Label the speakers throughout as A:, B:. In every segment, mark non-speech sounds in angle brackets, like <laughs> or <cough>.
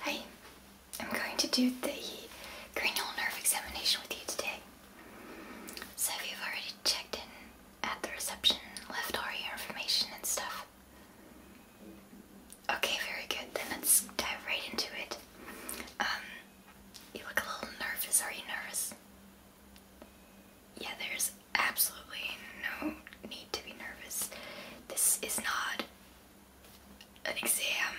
A: Hi, I'm going to do the cranial nerve examination with you today. So if you've already checked in at the reception, left all your information and stuff. Okay, very good. Then let's dive right into it. Um, you look a little nervous. Are you nervous? Yeah, there's absolutely no need to be nervous. This is not an exam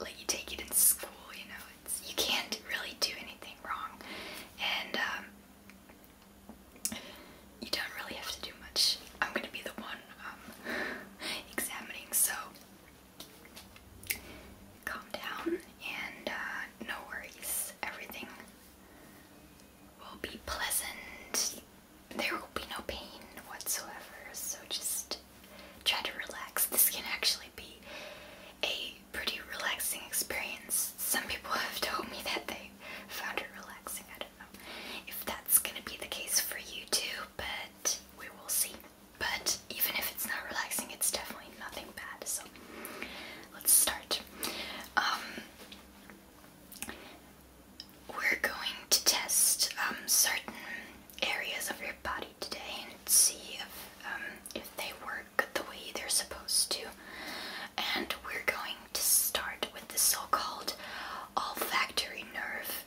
A: like you take it in school you know it's you can't really do anything wrong and um, you don't really have to do much I'm gonna be the one um, <laughs> examining so calm down and uh, no worries everything will be pleasant. There will be no pain whatsoever, so just try to relax. This can actually be a pretty relaxing experience. Some people <laughs> have told me that they found it relaxing. I don't know if that's going to be the case for you too, but we will see. But even if it's not relaxing, it's definitely nothing bad. So let's start. Um, we're going to test um, certain areas of your body today and see if, um, if they work the way they're supposed to. And we're going to start with the so called olfactory nerve,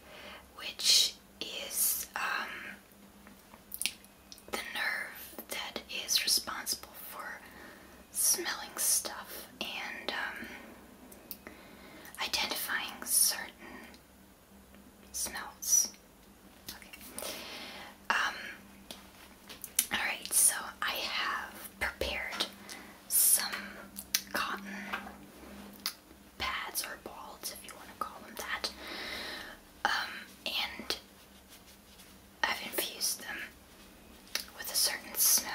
A: which is um, the nerve that is responsible for smelling stuff and um, identifying certain smells. Um, alright, so I have prepared some cotton pads or balls, if you want to call them that, um, and I've infused them with a certain smell.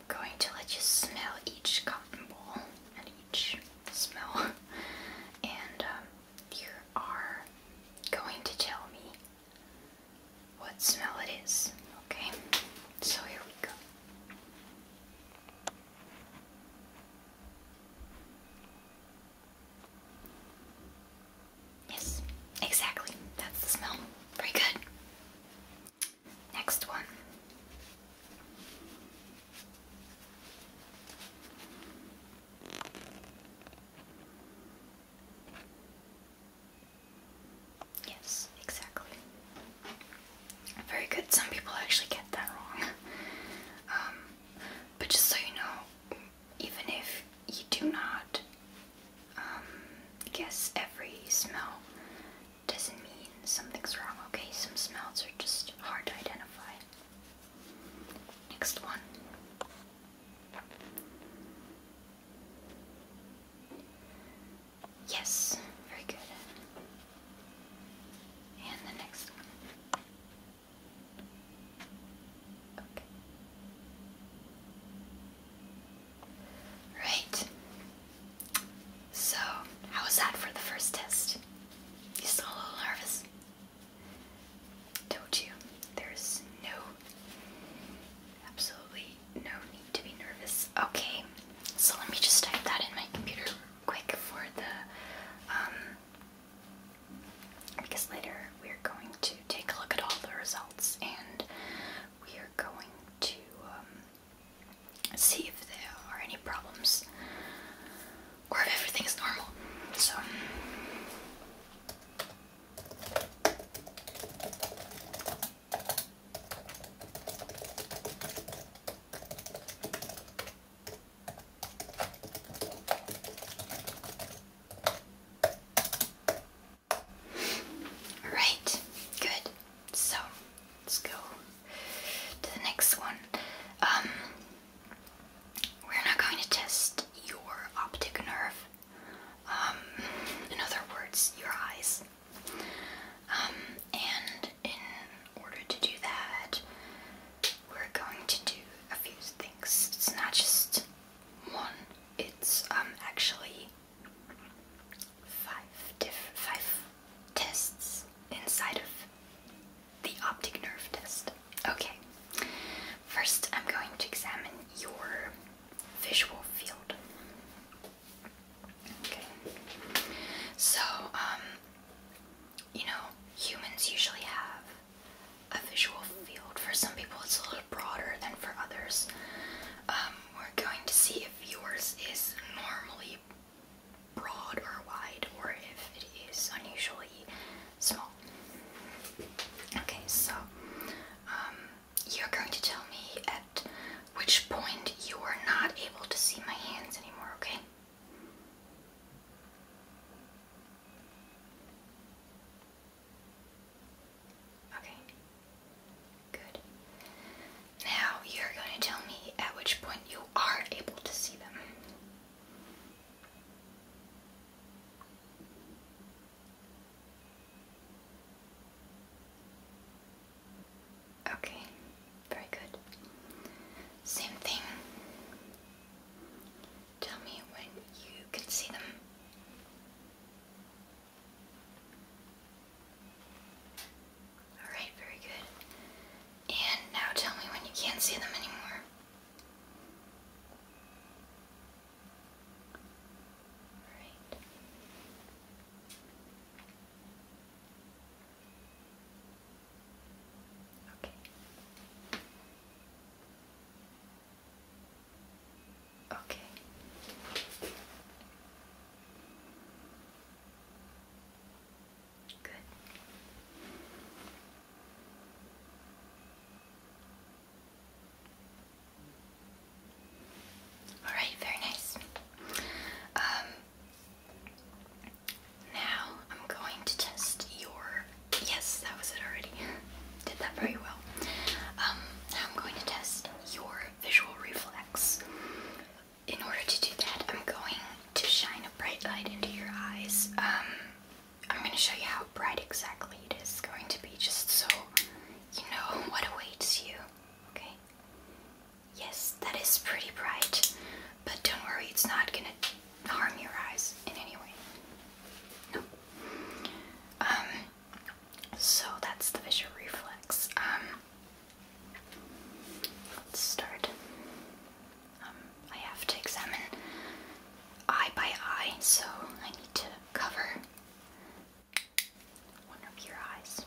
A: I'm going to let you smell each cotton ball and each smell, <laughs> and um, you are going to tell me what smell it is. Okay, so here we go. Yes, exactly. That's the smell. Very good. Next one. Yes, exactly. Very good. Some people actually get that wrong. <laughs> Um, but just so you know, even if you do not um, yes, every smell doesn't mean something's wrong, okay? Some smells are just hard to identify. Next one. Yes, very good. And the next Okay. Right. So, how was that for the first test? You still a little nervous? Don't you? There's no, absolutely no need to be nervous. Okay, so let me just type that in my computer quick for the, um, because later we're going to take a look at all the results and we are going to um, see if there are any problems or if everything is normal. So. Um, Alright, good. So, let's go to the next one. Um, we're not going to test your optic nerve. Um, in other words, your eyes. Um, and in order to do that, we're going to do a few things. It's not just one, it's actually five tests inside of the optic nerve test. Okay. First, I'm going to examine your visual field. Okay. So, um, you know, humans usually have a visual field. For some people, it's a little broader than for others. Um, we're going to see if yours is normally broad or wide, or if it is unusually small. Okay, so um, you're going to tell me at which point you are not able to see my hands anymore, okay? Okay. Good. Now you're going to tell me at which point you are able to see them. Okay, very good. Same thing. Tell me when you can see them. Alright, very good. And now tell me when you can't see them anymore. Alright. Okay. Okay. Good. All right, very nice. Um, now I'm going to test your. Yes, that was it already. <laughs> Did that very well. Um, I'm going to test your visual reflex. In order to do that, I'm going to shine a bright light into your eyes. Um, I'm going to show you how bright exactly it is going to be, just so you know what awaits you. Okay? Yes, that is pretty bright, but don't worry, it's not going to harm your eyes in any way. No. Um, so that's the visual reflex. Um, let's start. Um, I have to examine eye by eye, so I need to cover one of your eyes.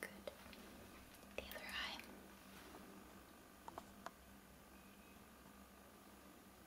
A: Good. The other eye.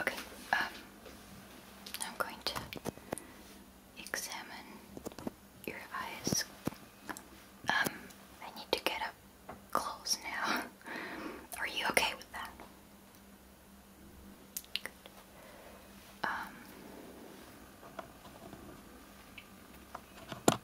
A: Okay, um, I'm going to examine your eyes. Um, I need to get up close now. <laughs> Are you okay with that? Um, okay.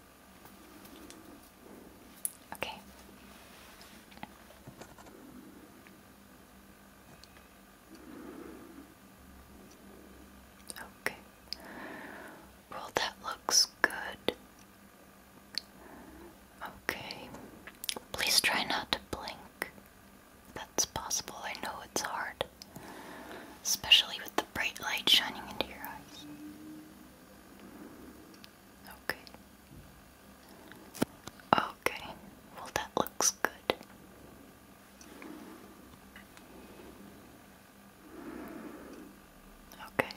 A: Okay. Well, that looks good. Okay. Please try not to blink. That's possible. I know it's hard. Especially with the bright light shining into your eyes. Okay. Okay. Well, that looks good. Okay.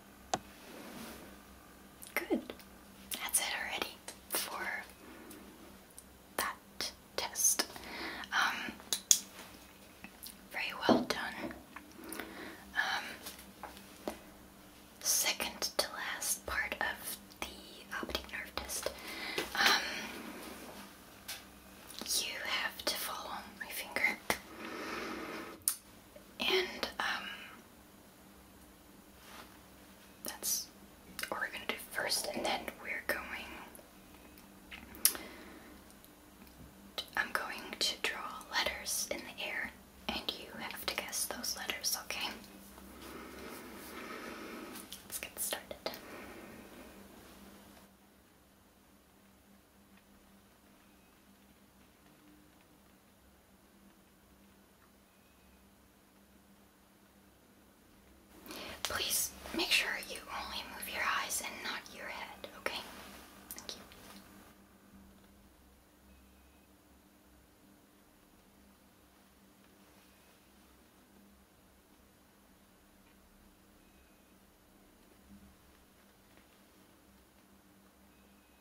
A: Good. That's it already for that test. Um, very well done. Um, second to last part of the optic nerve test. Um, you have to follow my finger. And, that's what we're gonna do first, and then we're going. To, I'm going to draw letters in the air, and you have to guess those letters, okay? Let's get started. Please make sure you only move your eyes and not your head, okay? Thank you.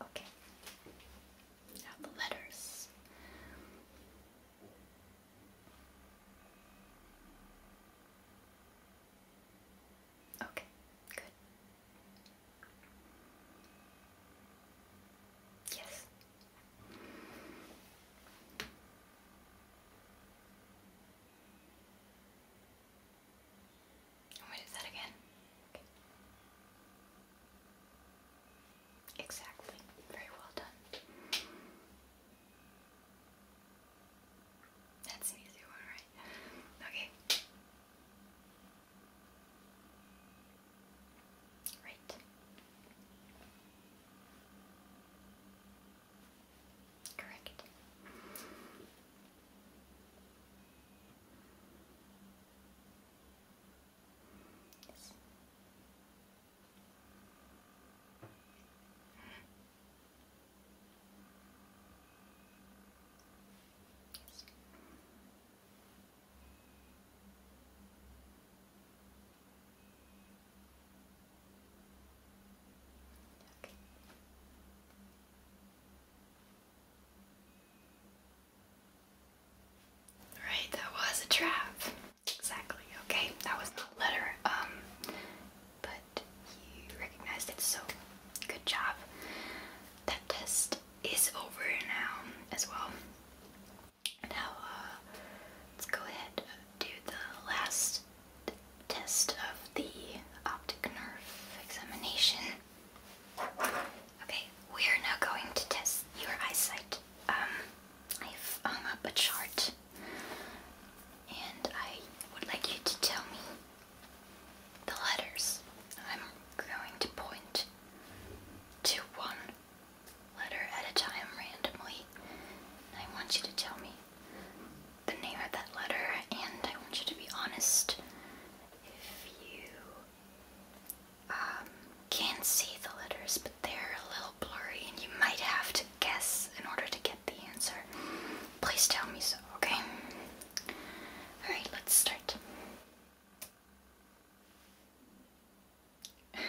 A: Okay. Now the letters. Okay, good. Yes. I'm going to do that again. Okay. Exactly. Very well done. That's an easy one, right? Okay. Right. Correct. Yes. Yes. Right, that was a trap. Exactly. Okay, that was not a letter. Um, but you recognized it, so good job. That test is over now as well. Now, uh, let's go ahead uh, do the last test of the optic nerve examination. Okay, we are now going to test your eyesight. Um, I've hung up a chart, and I would like you to tell me the letters. I'm going to point to one letter at a time randomly. I want you to tell me the name of that letter, and I want you to be honest. If you um, can't see the letters, but they're a little blurry, and you might have to guess in order to get the answer, please tell me so, okay? Alright, let's start. <laughs>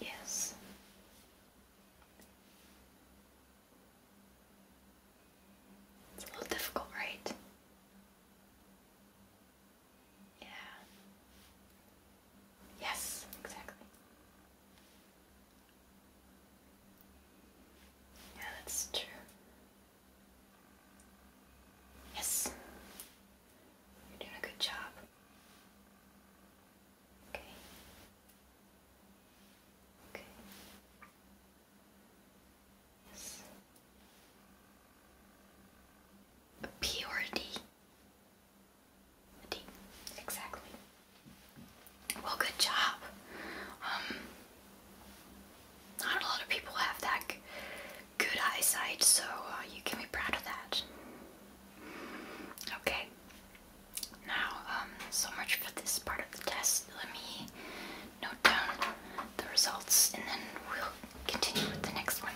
A: Yes. Yes. It's a little difficult, right? Yeah. Yes, exactly. Yeah, that's true. Yes. You're doing a good job. Okay. Okay. Yes. Purity. D. Exactly. Well, good job. Um, not a lot of people have that good eyesight, so uh, you can be proud of that. Okay. Now, um, so much for this part of the test. Let me note down the results and then we'll continue with the next one.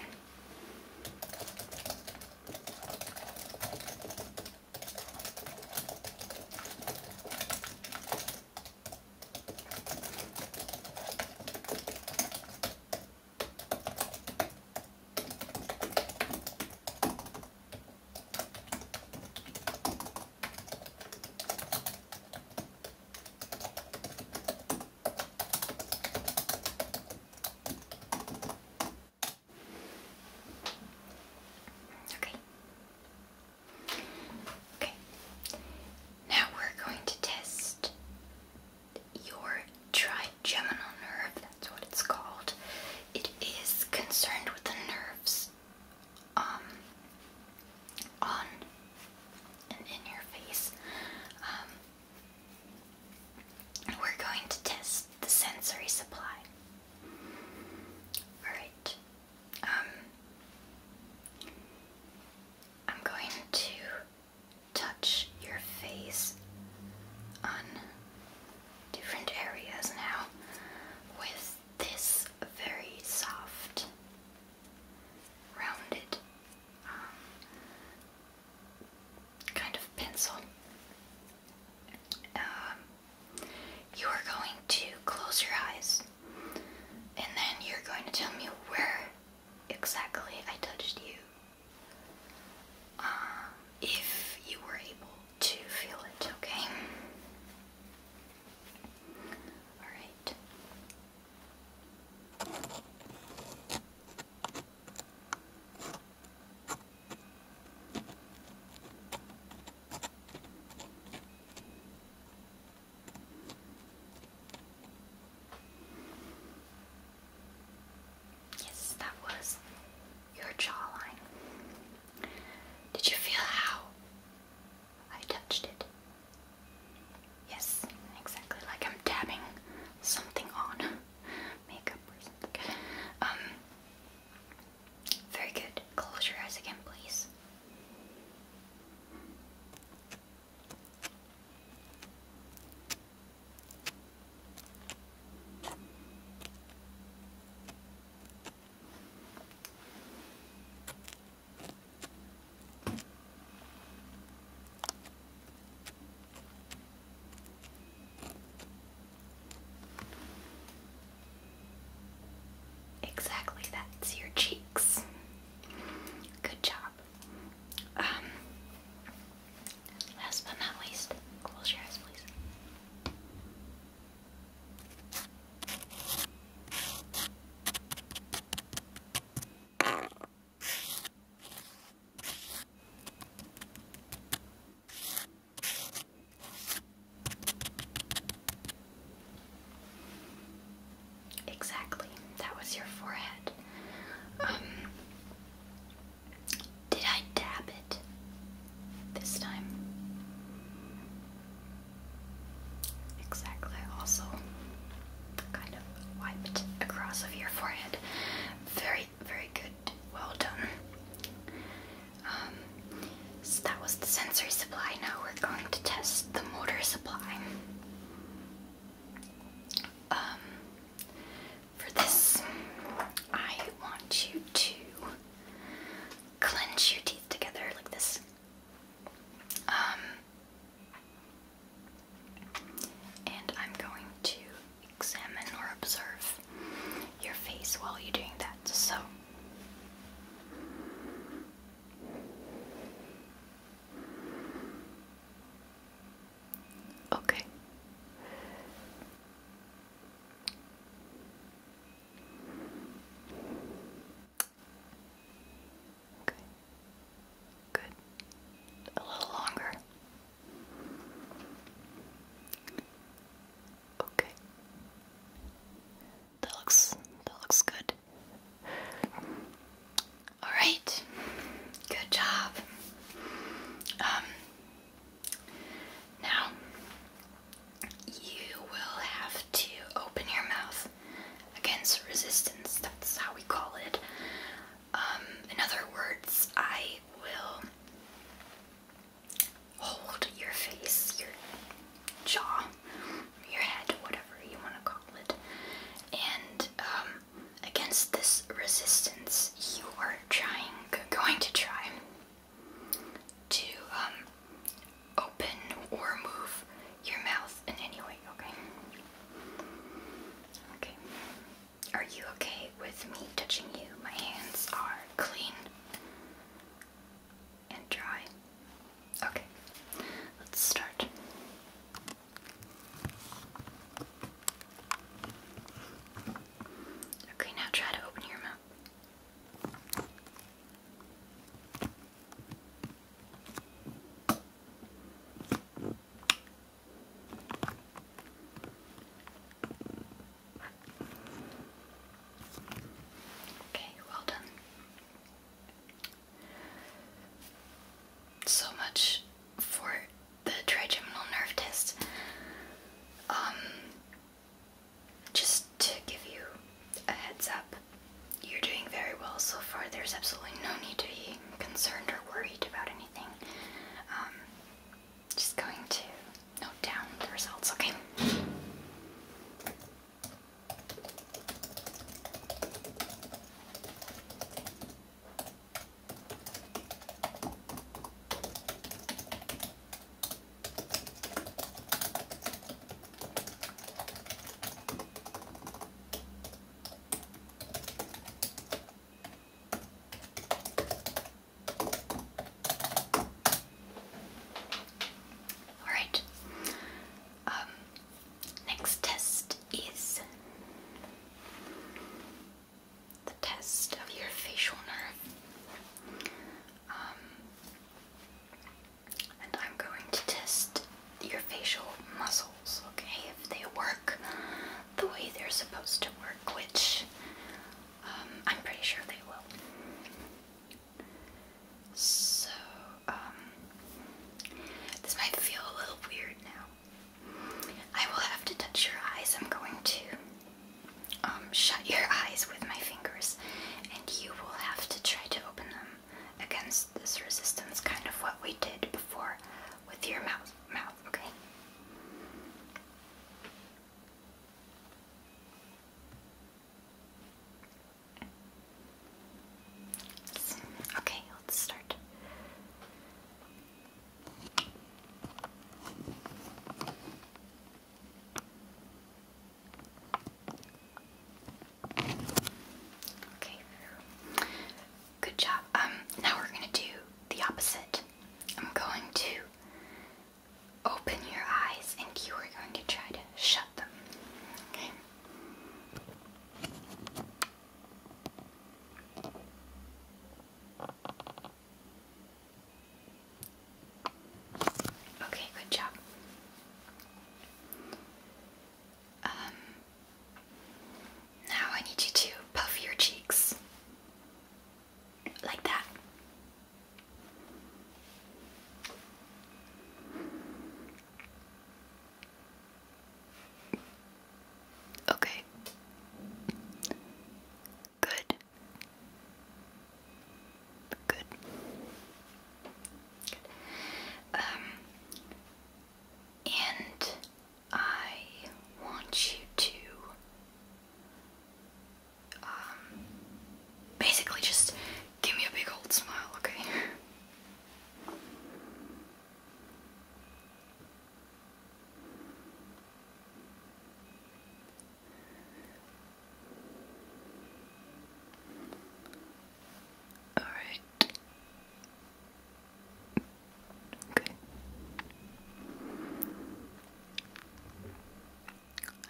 A: Okay. Okay. Now we're going to test your trigeminal nerve, that's what it's called. It is concerned with the nerves um, on and in your face. Um, we're going to test the sensory supply. Alright. Um, I'm going to touch your face on different areas now with this very soft, rounded um, kind of pencil. Um, you are going to close your eyes and then you're going to tell me where exactly I touched you um, if you were able to feel it, okay? Alright. Yes, that was your jawline. Did you feel how I touched it? Yes, exactly like I'm dabbing something on. <laughs> Makeup or something. Um very good. Close your eyes again, please. Exactly, that's your cheeks. Good job. Um, last but not least, close your eyes, please. Exactly. That was your forehead. Um, did I dab it this time? Exactly. I also kind of wiped across of your forehead. Very, very good. Well done. Um, so that was the sensory supply. Now we're going to test the motor supply. Um, for this, I want you to clench your teeth together like this. Um, and I'm going to examine or observe your face while you're doing that. So. Okay. Good. A little longer. Okay. That looks that looks good. All right. Good job. Um, now you will have to open your mouth against resistance. That's how we call it. Um, in other words, I will hold your face, your jaw, your head, whatever you want to call it. And um, against this resistance, you are trying, going to try to um, open or move your mouth in any way, okay? Okay. Are you okay with me touching you? My hands are clean and dry. Okay, let's start. Okay, now try to open your mouth. Okay, well done. So much for the trigeminal nerve test. Um, just to give you a heads up, you're doing very well so far. There's absolutely no need to be concerned or worried about anything. Um, just going to note down the results, okay? All right. Um, Next test is the test of your facial nerve. Um, and I'm going to test your facial muscles, okay? If they work the way they're supposed to work, which um, I'm pretty sure they will. So, um, this might feel a little weird now, I will have to touch your eyes. I'm going to um, shut your eyes with my fingers, and you will have to try to open them against this resistance, kind of what we did before with your mouth. Mouth, okay. Okay, let's start. Okay, good job. Um, now we're going to do the opposite. I'm going to open your eyes, and you are going to try to shut them. Okay. Okay, good job. Um, now I need you to puff your cheeks like that. Okay. Good. Good. Good. Um, and I want you to um basically just give me a big old smile, okay? All right. Okay.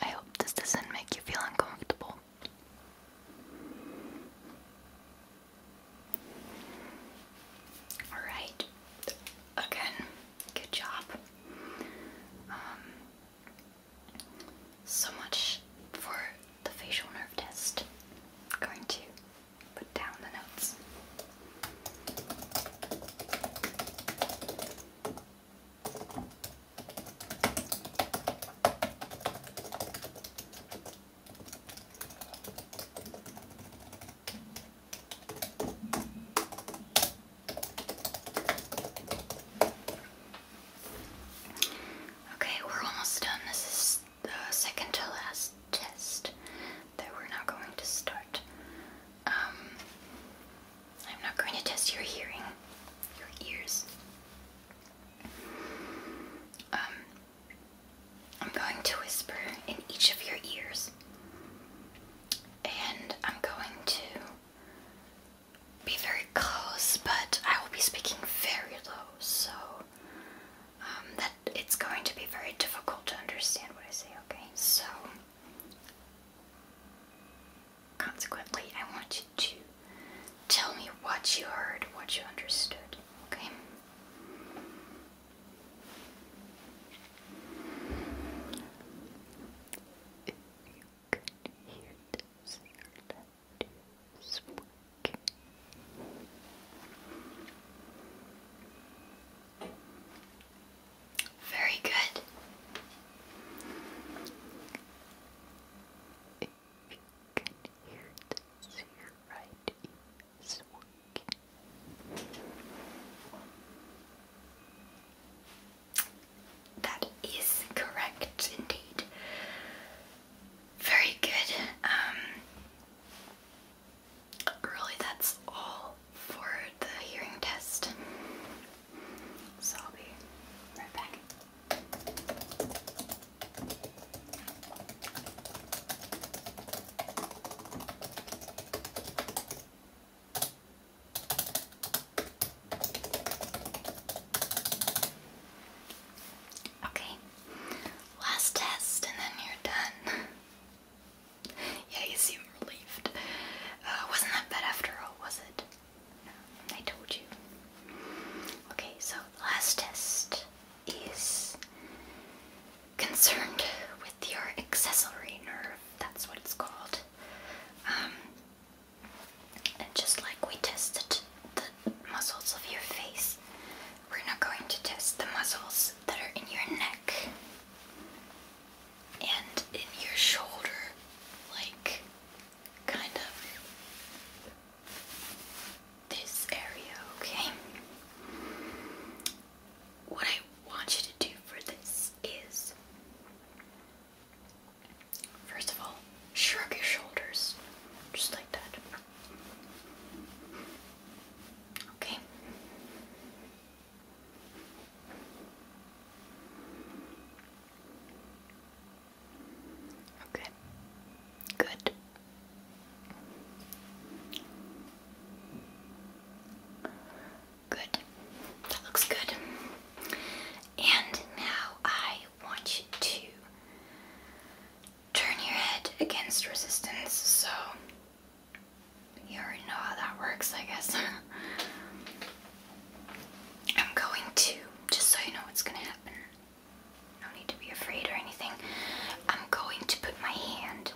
A: I hope this doesn't make you feel uncomfortable. All right. Again, good job. Um, so much for the facial nerve test. going to put down the notes. Okay, we're almost done. This is the second to last test that we're now going to start. Um, I'm not going to test your hearing, your ears. Um, I'm going to whisper in each of your ears, and I'm going to be very close, but I will be speaking very low, so um, that it's going to be very difficult to understand what I say, okay? So, consequently, I want you to tell me what you heard, what you understood, okay? If you could hear this, your left is Very good. If you can hear this, your right ear that is correct indeed. Very good. Um, really, that's all for the hearing test. So I'll be right back. Okay, last test and then you're done. yeah, you seem relieved. Uh, wasn't that bad after all, was it? I told you. Okay, so last test is concerned with your accessory nerve, that's what it's called. Um, and just like we tested the muscles of your face, we're not going to test the muscles that are in your neck and in your shoulder, like kind of this area, okay? What I want you to do for this is first of all, shrug your shoulders just like that. Okay. Okay. Good. Good. That looks good. And now I want you to turn your head against resistance. So you already know how that works, I guess. <laughs> I'm going to, just so you know what's going to happen, no need to be afraid or anything. I'm going to put my hand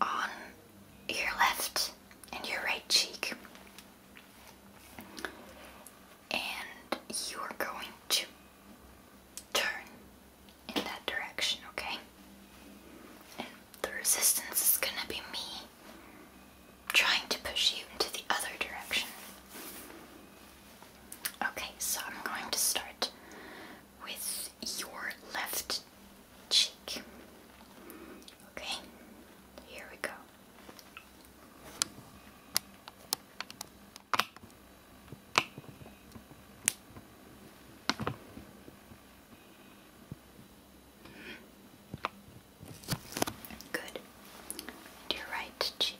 A: on your left and your right cheek. And you're going to turn in that direction, okay? And the resistance is gonna be me trying to push you into the other direction. Okay, so I'm going to start with your left cheek. Okay, here we go. Good. your right cheek.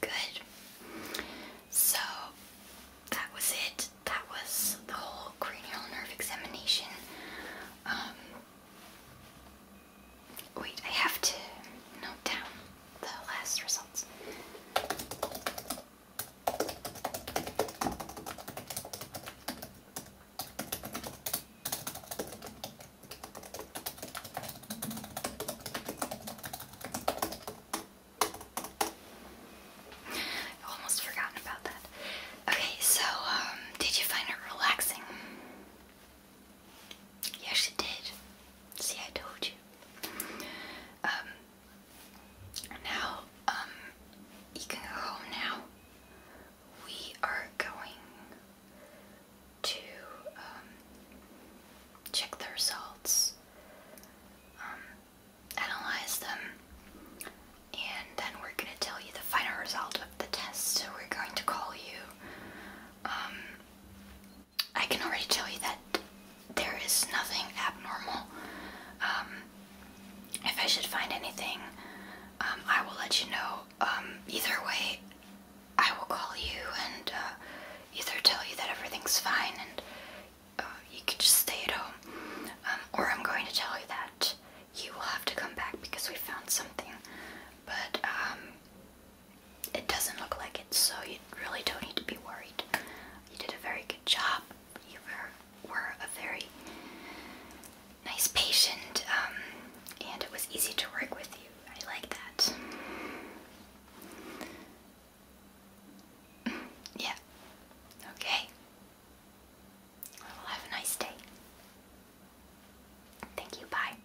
A: Good. So that was it. That was the whole cranial nerve examination. Um, Wait, I have to note down the last results. I've almost forgotten about that. Okay, so um, did you find it relaxing? Yes, it did. See, I told you. Um, now, um, you can go home now. We are going to um, check the results, analyze them, and then we're going to tell you the final result of the test. we're going to call you I can already tell you that there is nothing abnormal. Um, if I should find anything, um, I will let you know. Um, either way, I will call you and uh, either tell you that everything's fine and uh, you can just stay at home, or I'm going to tell you that you will have to come back because we found something. But it doesn't look like it, so you really don't need to be worried. You did a very good job. You were, a very nice patient, um, and it was easy to work with you. I like that. <clears throat> Yeah. Okay. have a nice day. Thank you. Bye.